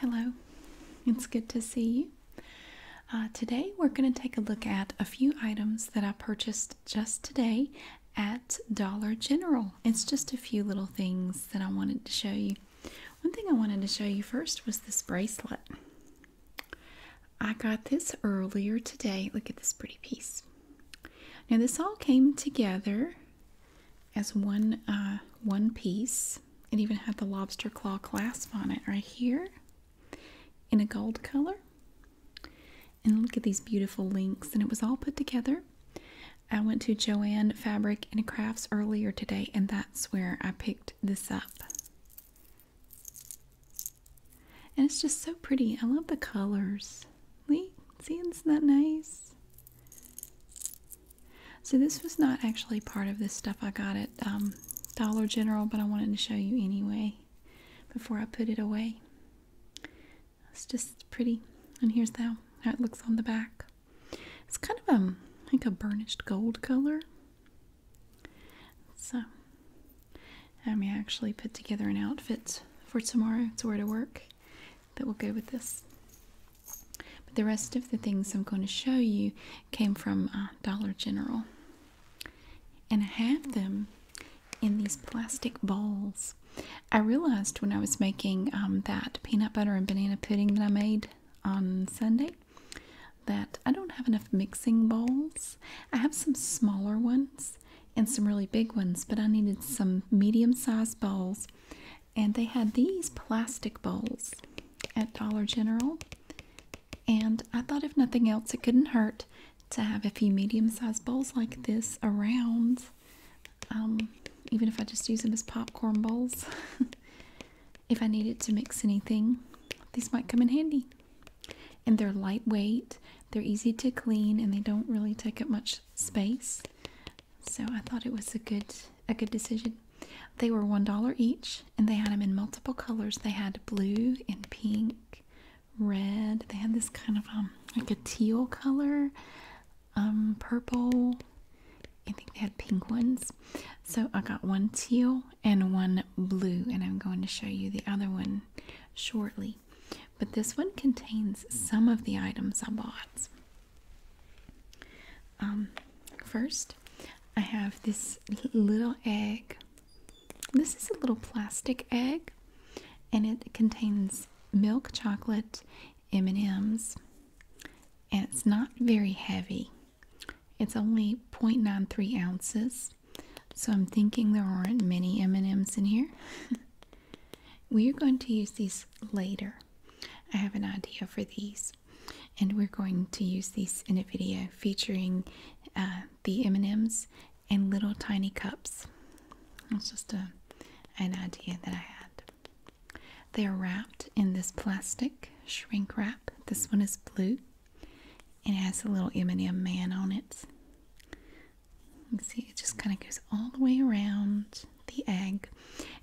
Hello, it's good to see you. Uh, today we're going to take a look at a few items that I purchased just today at Dollar General. It's just a few little things that I wanted to show you. One thing I wanted to show you first was this bracelet. I got this earlier today. Look at this pretty piece. Now, this all came together as one uh, one piece. It even had the lobster claw clasp on it right here in a gold color. And look at these beautiful links. And it was all put together. I went to Joann Fabric and Crafts earlier today, and that's where I picked this up. And it's just so pretty. I love the colors. See, isn't that nice? So this was not actually part of this stuff I got at um, Dollar General, but I wanted to show you anyway before I put it away. It's just pretty. And here's how, how it looks on the back. It's kind of a, um, like a burnished gold color. So I may actually put together an outfit for tomorrow to wear to work that will go with this. But the rest of the things I'm going to show you came from uh, Dollar General. And I have them in these plastic bowls. I realized when I was making um, that peanut butter and banana pudding that I made on Sunday that I don't have enough mixing bowls. I have some smaller ones and some really big ones, but I needed some medium sized bowls and they had these plastic bowls at Dollar General. And I thought, if nothing else, it couldn't hurt to have a few medium sized bowls like this around, um, even if I just use them as popcorn bowls. if I needed to mix anything, these might come in handy. And they're lightweight, they're easy to clean, and they don't really take up much space so I thought it was a good a good decision. They were one dollar each, and they had them in multiple colors. They had blue and pink, red. They had this kind of um like a teal color, um purple. I think they had pink ones. So I got one teal and one blue, and I'm going to show you the other one shortly. But this one contains some of the items I bought. Um, first, I have this little egg. This is a little plastic egg, and it contains milk chocolate M&Ms, and it's not very heavy. It's only 0.93 ounces, so I'm thinking there aren't many M&Ms in here. we are going to use these later. I have an idea for these, and we're going to use these in a video featuring uh, the M&Ms and little tiny cups. It's just an idea that I had. They're wrapped in this plastic shrink wrap. This one is blue. It has a little M&M man on it. You see it just kind of goes all the way around the egg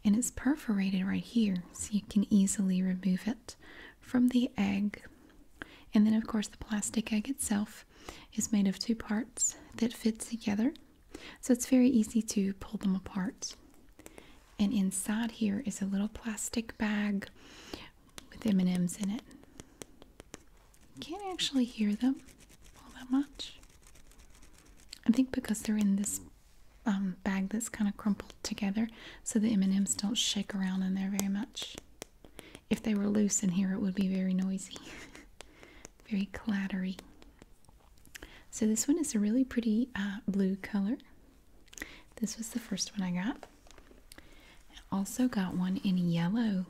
and it's perforated right here so you can easily remove it from the egg. And then, of course, the plastic egg itself is made of two parts that fit together. So it's very easy to pull them apart. And inside here is a little plastic bag with M&Ms in it. Can't actually hear them all that much. I think because they're in this um, bag that's kind of crumpled together so the M&Ms don't shake around in there very much. If they were loose in here, it would be very noisy, very clattery. So this one is a really pretty uh, blue color. This was the first one I got. I also got one in yellow.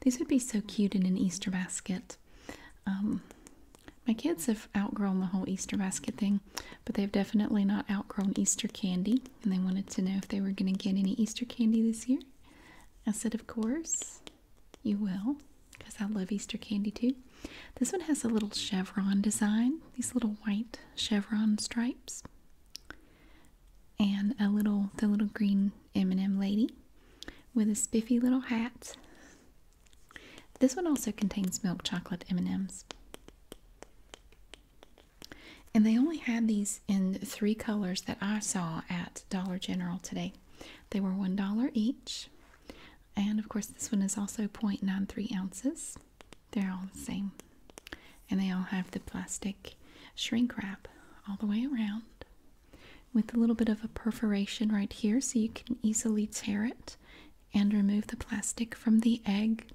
These would be so cute in an Easter basket. Um, my kids have outgrown the whole Easter basket thing, but they've definitely not outgrown Easter candy, and they wanted to know if they were going to get any Easter candy this year. I said, Of course, you will, because I love Easter candy too. This one has a little chevron design, these little white chevron stripes, and a little the little green M&M lady with a spiffy little hat this one also contains milk chocolate M&Ms. And they only had these in three colors that I saw at Dollar General today. They were $1 each. And of course, this one is also 0.93 ounces. They're all the same. And they all have the plastic shrink wrap all the way around with a little bit of a perforation right here so you can easily tear it and remove the plastic from the egg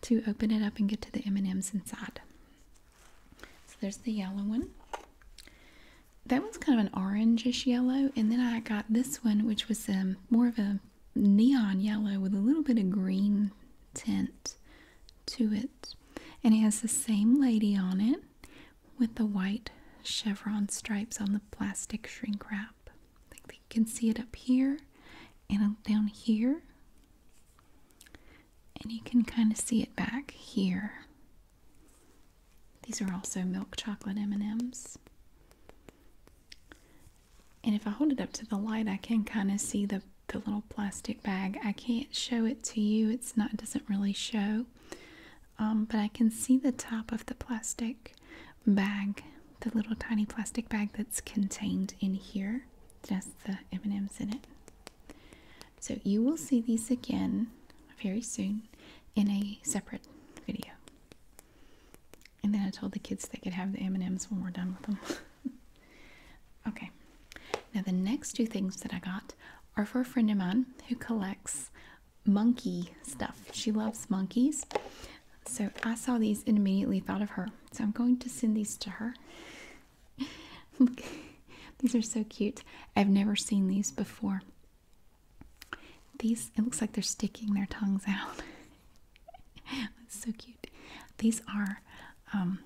to open it up and get to the M&Ms inside. So there's the yellow one. That one's kind of an orangish yellow and then I got this one which was um, more of a neon yellow with a little bit of green tint to it. And it has the same lady on it with the white chevron stripes on the plastic shrink wrap. I think you can see it up here and down here. And you can kind of see it back here. These are also milk chocolate M&Ms. And if I hold it up to the light, I can kind of see the, the little plastic bag. I can't show it to you. It's not it doesn't really show. Um, but I can see the top of the plastic bag, the little tiny plastic bag that's contained in here, just the M&Ms in it. So you will see these again very soon in a separate video. And then I told the kids they could have the M&Ms when we're done with them. okay. Now the next two things that I got are for a friend of mine who collects monkey stuff. She loves monkeys. So I saw these and immediately thought of her. So I'm going to send these to her. these are so cute. I've never seen these before. These, it looks like they're sticking their tongues out. so cute. These are um,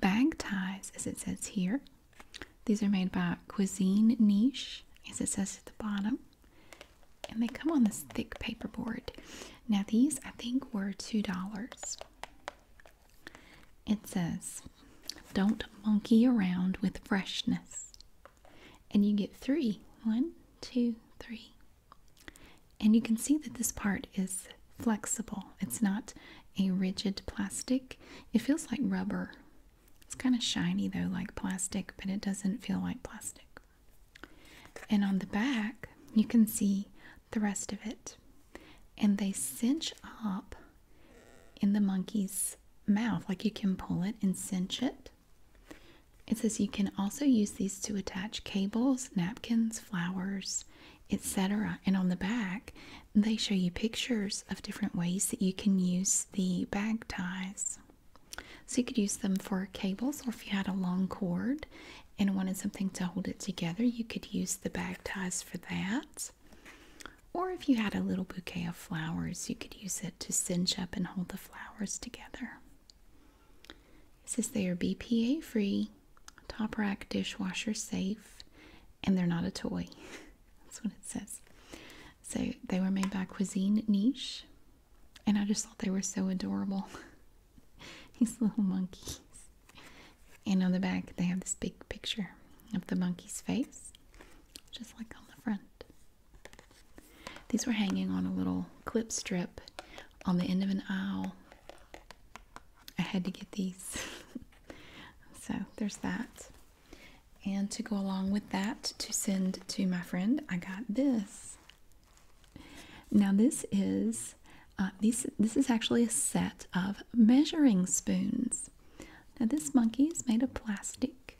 bag ties, as it says here. These are made by Cuisine Niche, as it says at the bottom. And they come on this thick paperboard. Now, these I think were $2. It says, Don't monkey around with freshness. And you get three: one, two, three. And you can see that this part is flexible, it's not a rigid plastic. It feels like rubber it's kind of shiny though, like plastic, but it doesn't feel like plastic. And on the back, you can see the rest of it. And they cinch up in the monkey's mouth. Like you can pull it and cinch it. It says you can also use these to attach cables, napkins, flowers, etc. And on the back, they show you pictures of different ways that you can use the bag ties. So you could use them for cables, or if you had a long cord and wanted something to hold it together, you could use the bag ties for that. Or if you had a little bouquet of flowers, you could use it to cinch up and hold the flowers together. This is they are BPA free, top rack dishwasher safe, and they're not a toy. That's what it says. So they were made by Cuisine Niche, and I just thought they were so adorable. These little monkeys. And on the back, they have this big picture of the monkey's face, just like on the front. These were hanging on a little clip strip on the end of an aisle. I had to get these. so there's that. And to go along with that, to send to my friend, I got this. Now this is uh, This is actually a set of measuring spoons. Now this monkey is made of plastic,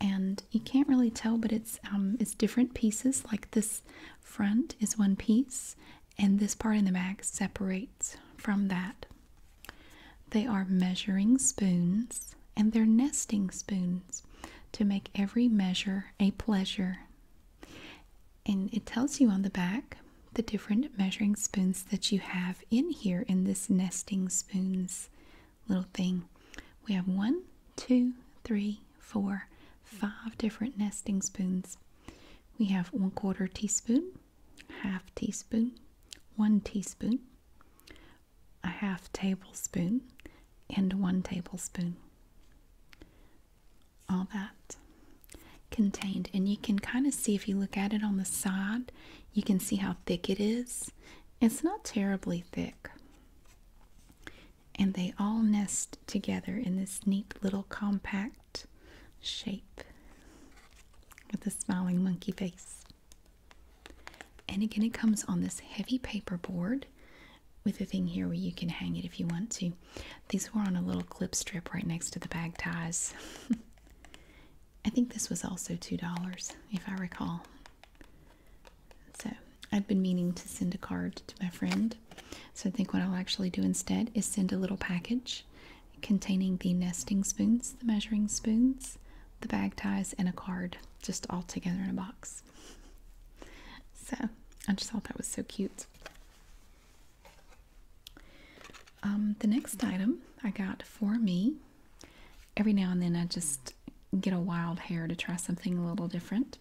and you can't really tell, but it's um, it's different pieces. Like this front is one piece, and this part in the back separates from that. They are measuring spoons and they're nesting spoons to make every measure a pleasure. And it tells you on the back the different measuring spoons that you have in here in this nesting spoons little thing. We have one, two, three, four, five different nesting spoons. We have one quarter teaspoon, half teaspoon, one teaspoon, a half tablespoon, and one tablespoon. All that contained. And you can kind of see if you look at it on the side, you can see how thick it is. It's not terribly thick. And they all nest together in this neat little compact shape with a smiling monkey face. And again, it comes on this heavy paper board with a thing here where you can hang it if you want to. These were on a little clip strip right next to the bag ties. I think this was also $2 if I recall. So I've been meaning to send a card to my friend. So I think what I'll actually do instead is send a little package containing the nesting spoons, the measuring spoons, the bag ties, and a card, just all together in a box. So I just thought that was so cute. Um, the next item I got for me, every now and then I just get a wild hair to try something a little different.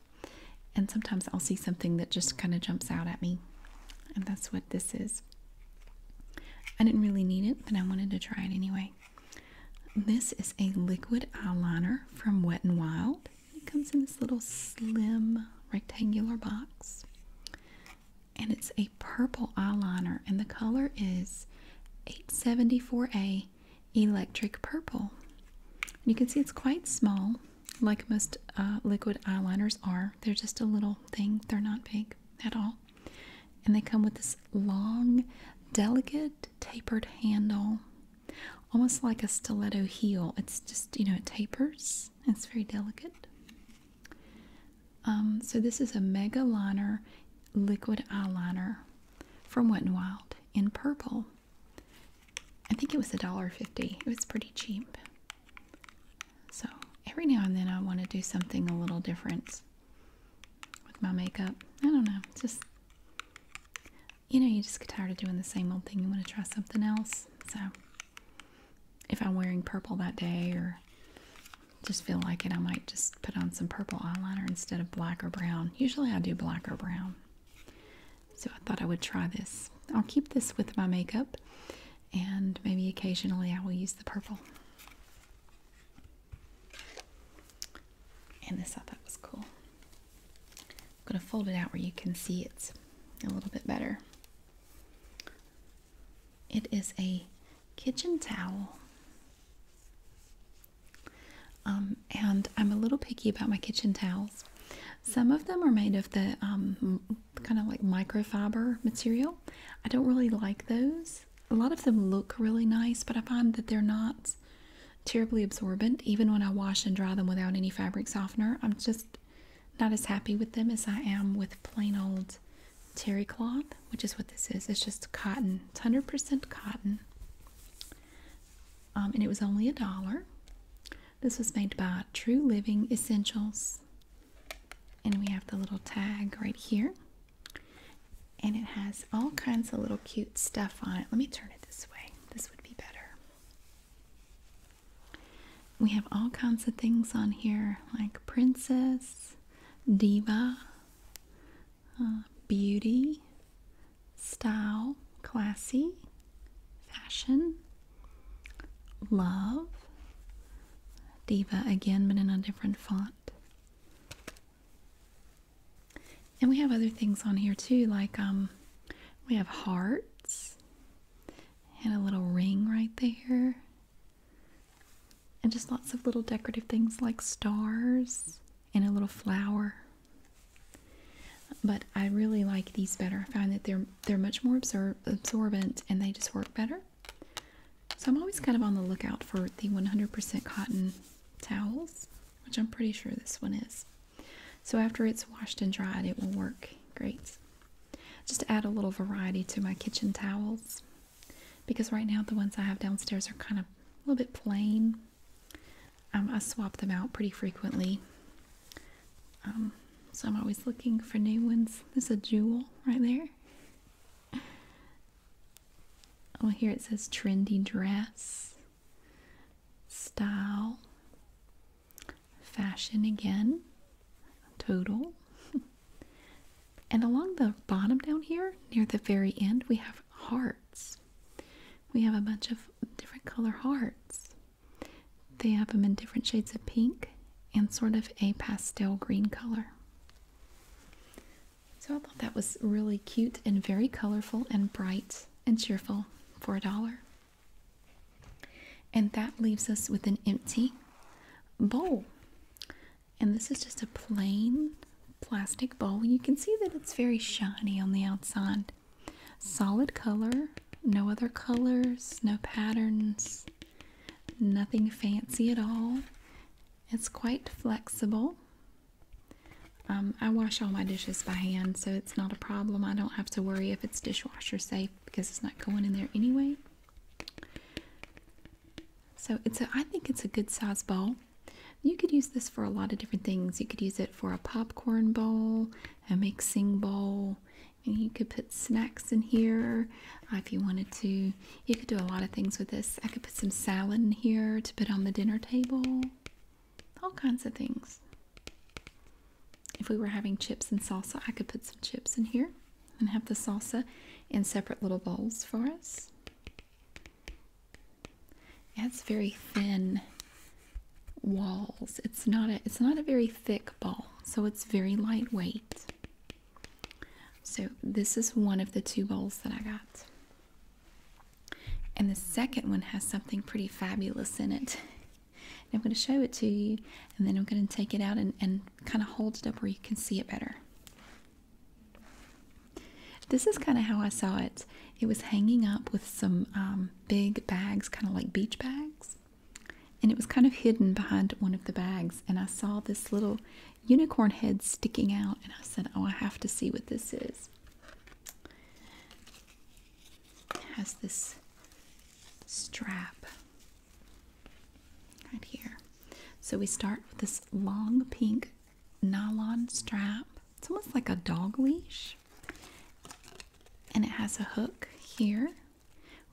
And sometimes I'll see something that just kind of jumps out at me. And that's what this is. I didn't really need it, but I wanted to try it anyway. This is a liquid eyeliner from Wet n Wild. It comes in this little slim rectangular box. And it's a purple eyeliner, and the color is 874A Electric Purple. you can see it's quite small, like most uh, liquid eyeliners are. They're just a little thing, they're not big at all. And they come with this long, delicate, tapered handle, almost like a stiletto heel. It's just, you know, it tapers, it's very delicate. Um, so, this is a Mega Liner liquid eyeliner from Wet n Wild in purple. I think it was $1.50. It was pretty cheap. So every now and then I want to do something a little different with my makeup. I don't know. Just you know, you just get tired of doing the same old thing. You want to try something else. So if I'm wearing purple that day or just feel like it, I might just put on some purple eyeliner instead of black or brown. Usually I do black or brown. So I thought I would try this. I'll keep this with my makeup and maybe occasionally I will use the purple. And this I thought was cool. I'm going to fold it out where you can see it's a little bit better. It is a kitchen towel. Um, and I'm a little picky about my kitchen towels. Some of them are made of the um, kind of like microfiber material. I don't really like those a lot of them look really nice but I find that they're not terribly absorbent even when I wash and dry them without any fabric softener I'm just not as happy with them as I am with plain old terry cloth which is what this is it's just cotton it's 100% cotton um, and it was only a dollar this was made by True Living Essentials and we have the little tag right here and it has all kinds of little cute stuff on it let me turn it this way this would be better we have all kinds of things on here like princess diva uh, beauty style classy fashion love Diva again, but in a different font. And we have other things on here too, like um, we have hearts and a little ring right there, and just lots of little decorative things like stars and a little flower. But I really like these better. I find that they're they're much more absorbent and they just work better. So I'm always kind of on the lookout for the 100% cotton towels, which I'm pretty sure this one is. So after it's washed and dried, it will work great. Just to add a little variety to my kitchen towels because right now the ones I have downstairs are kind of a little bit plain. Um, I swap them out pretty frequently. Um, so I'm always looking for new ones. There's a jewel right there. Oh, here it says trendy dress, style, fashion again, total. and along the bottom down here, near the very end, we have hearts. We have a bunch of different color hearts. They have them in different shades of pink and sort of a pastel green color. So I thought that was really cute and very colorful and bright and cheerful for a dollar. And that leaves us with an empty bowl. And this is just a plain plastic bowl. You can see that it's very shiny on the outside. Solid color, no other colors, no patterns, Nothing fancy at all. It's quite flexible. Um, I wash all my dishes by hand, so it's not a problem. I don't have to worry if it's dishwasher safe because it's not going in there anyway. So it's I think it's a good size bowl. You could use this for a lot of different things. You could use it for a popcorn bowl, a mixing bowl, and you could put snacks in here. Uh, if you wanted to, you could do a lot of things with this. I could put some salad in here to put on the dinner table, all kinds of things. If we were having chips and salsa, I could put some chips in here and have the salsa in separate little bowls for us. It's very thin walls. It's not a it's not a very thick ball, so it's very lightweight. So, this is one of the two bowls that I got. And the second one has something pretty fabulous in it. I'm going to show it to you, and then I'm going to take it out and, kind of hold it up where you can see it better. This is kind of how I saw it. It was hanging up with some um, big bags, kind of like beach bags and it was kind of hidden behind one of the bags. And I saw this little unicorn head sticking out, and I said, Oh, I have to see what this is. It has this strap right here. So we start with this long pink nylon strap. It's almost like a dog leash. And it has a hook here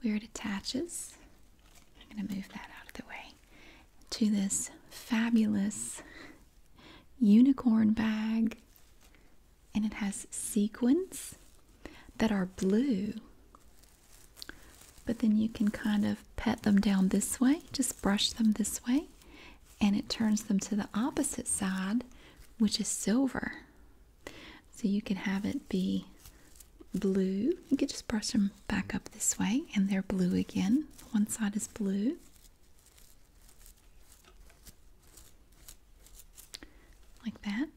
where it attaches. I'm going to move that out of the way to this fabulous unicorn bag. And it has sequins that are blue. But then you can kind of pet them down this way, just brush them this way, and it turns them to the opposite side, which is silver. So you can have it be blue. You could just brush them back up this way, and they're blue again. One side is blue. Like that.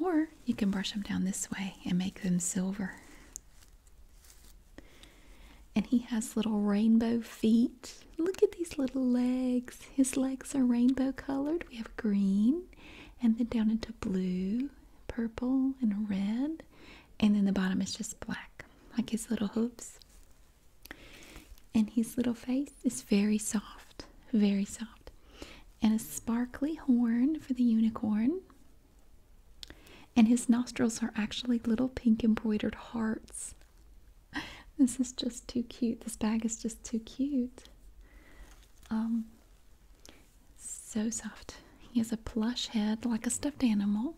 Or you can brush them down this way and make them silver. And he has little rainbow feet. Look at these little legs. His legs are rainbow colored. We have green and then down into blue purple and red, and then the bottom is just black, like his little hooves. And his little face is very soft, very soft. And a sparkly horn for the unicorn. And his nostrils are actually little pink embroidered hearts. This is just too cute. This bag is just too cute. Um, so soft. He has a plush head like a stuffed animal.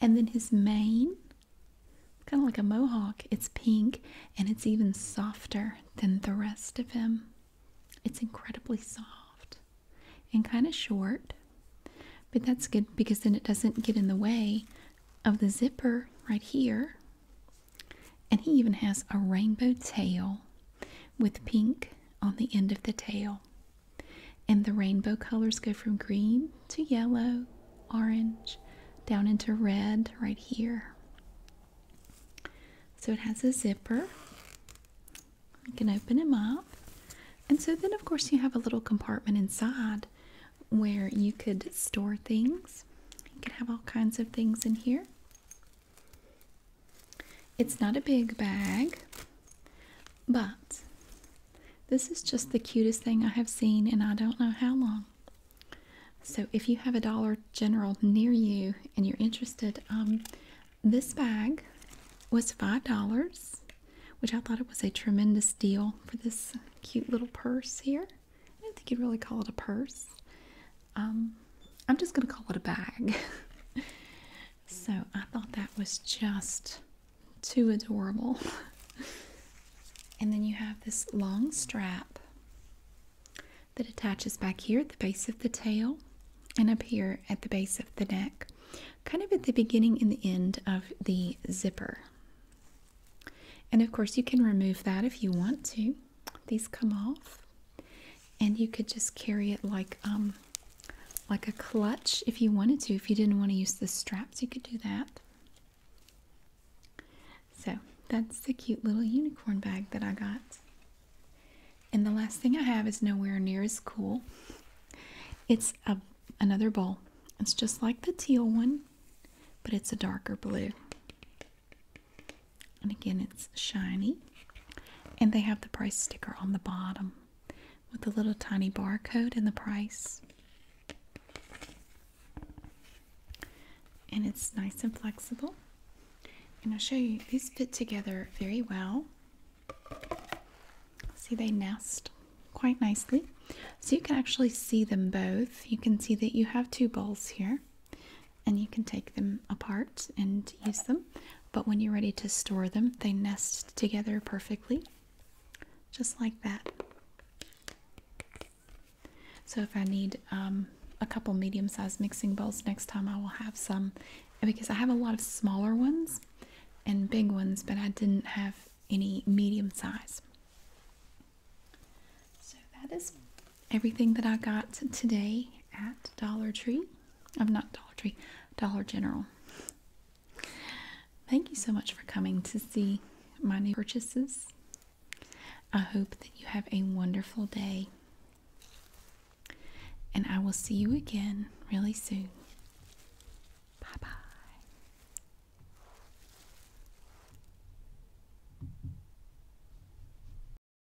And then his mane, kind of like a mohawk, it's pink and it's even softer than the rest of him. It's incredibly soft and kind of short, but that's good because then it doesn't get in the way of the zipper right here. And he even has a rainbow tail with pink on the end of the tail. And the rainbow colors go from green to yellow, orange, down into red right here. So it has a zipper. You can open him up. And so then, of course, you have a little compartment inside where you could store things. You could have all kinds of things in here. It's not a big bag, but this is just the cutest thing I have seen and I don't know how long. So if you have a Dollar General near you and you're interested, um, this bag was $5, which I thought it was a tremendous deal for this cute little purse here. I don't think you'd really call it a purse. Um, I'm just gonna call it a bag. so I thought that was just too adorable. and then you have this long strap that attaches back here at the base of the tail and up here at the base of the neck, kind of at the beginning and the end of the zipper. And of course, you can remove that if you want to these come off and you could just carry it like um like a clutch if you wanted to if you didn't want to use the straps you could do that so that's the cute little unicorn bag that i got and the last thing i have is nowhere near as cool it's a, another bowl it's just like the teal one but it's a darker blue and again, it's shiny. And they have the price sticker on the bottom with the little tiny barcode and the price. And it's nice and flexible. And I'll show you, these fit together very well. See, they nest quite nicely. So you can actually see them both. You can see that you have two bowls here and you can take them apart and use them. But when you're ready to store them, they nest together perfectly, just like that. So if I need um, a couple medium-sized mixing bowls next time, I will have some because I have a lot of smaller ones and big ones, but I didn't have any medium size. So that is everything that I got today at Dollar Tree. I'm not Dollar Tree, Dollar General. Thank you so much for coming to see my new purchases. I hope that you have a wonderful day. And I will see you again really soon. Bye bye.